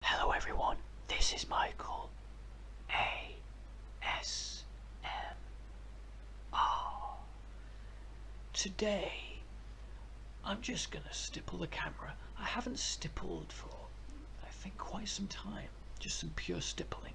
Hello everyone, this is Michael ASMR. Today I'm just going to stipple the camera. I haven't stippled for I think quite some time, just some pure stippling.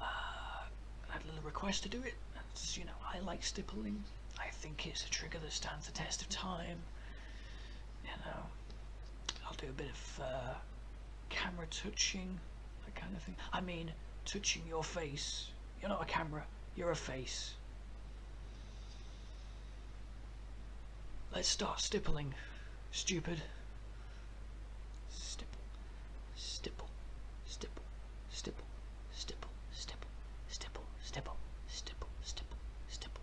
Uh, had a little request to do it, you know, I like stippling. I think it's a trigger that stands the test of time you know, I'll do a bit of uh, camera touching, that kind of thing. I mean, touching your face. You're not a camera, you're a face. Let's start stippling, stupid. stipple, stipple, stipple, stipple, stipple, stipple, stipple, stipple, stipple, stipple.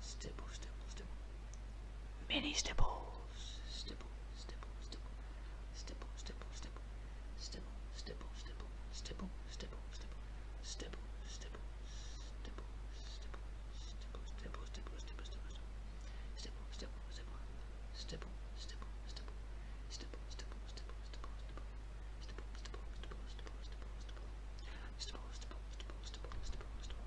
Stipple, stipple, stipple. Mini stipples. Stipple, stipple, stipple. Stipple, stipple, stipple. Stipple, stipple, stipple. Stipple, stipple, stipple. Stipple, stipple, stipple. Stipple, stipple, stipple, stipple, stipple, stipple. Stipple, stipple, stipple. Stipple, stipple, stipple. Stipple, stipple, stipple, stipple, stipple. Stipple, stipple, stipple, stipple, stipple, stipple. Stipple, stipple, stipple, stipple, stipple, stipple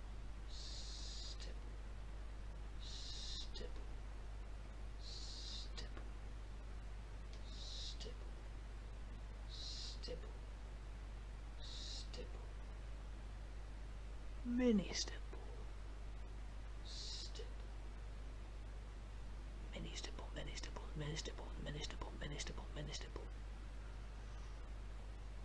stipple, stipple, stipple, stipple, stipple, stipple, stipple, stipple, mini stipple, mini stipple, mini stipple, mini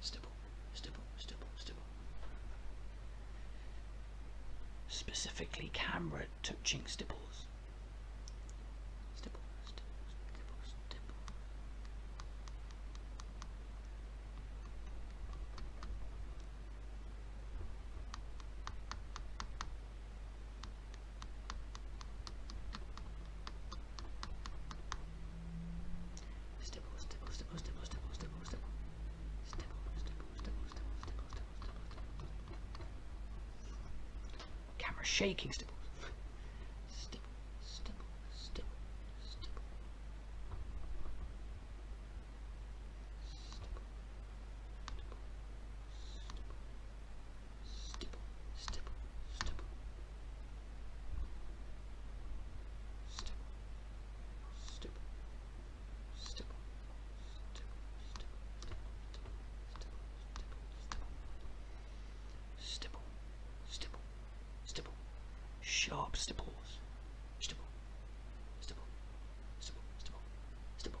Stipple, stipple, stipple, stipple. Specifically camera touching stipples. stipple. Stipple, stipple, stipple, stipple, stipple, stipple, stipple. Stipple, stipple, stipple, stipple, stipple, stipple, stipple. Camera shaking stipple. Stipple, stipple, stipple, stipple. Stipple, stipple, stipple, stipple stipple, stipple, stipple, stipple, stipple, stipple, stipple, stipple, stipple, sharp stipples, stipple, stipple, stipple, stipple, stipple.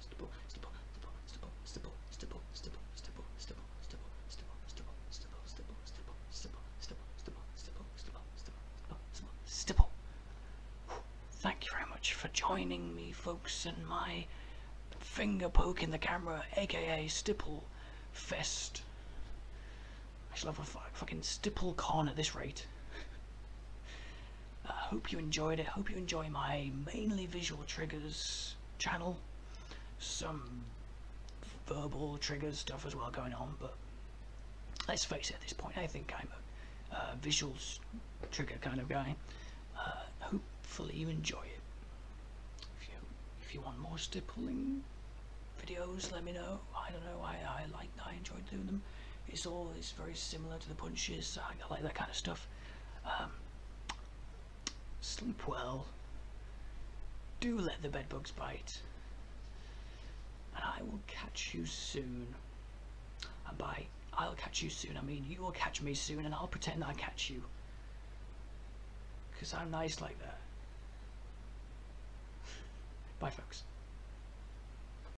stipple. Thank you very much for joining me, folks, in my finger poke in the camera, aka Stipple Fest. I shall have a fucking Stipple Con at this rate. I uh, hope you enjoyed it. Hope you enjoy my mainly visual triggers channel. Some verbal triggers stuff as well going on, but let's face it, at this point, I think I'm a uh, visuals trigger kind of guy. Uh, hopefully you enjoy it. If you, if you want more stippling videos, let me know. I don't know, I, I like, I enjoyed doing them it's all it's very similar to the punches I, like that kind of stuff um, sleep well do let the bedbugs bite and I will catch you soon and by I'll catch you soon I mean you will catch me soon and I'll pretend I catch you because I'm nice like that bye folks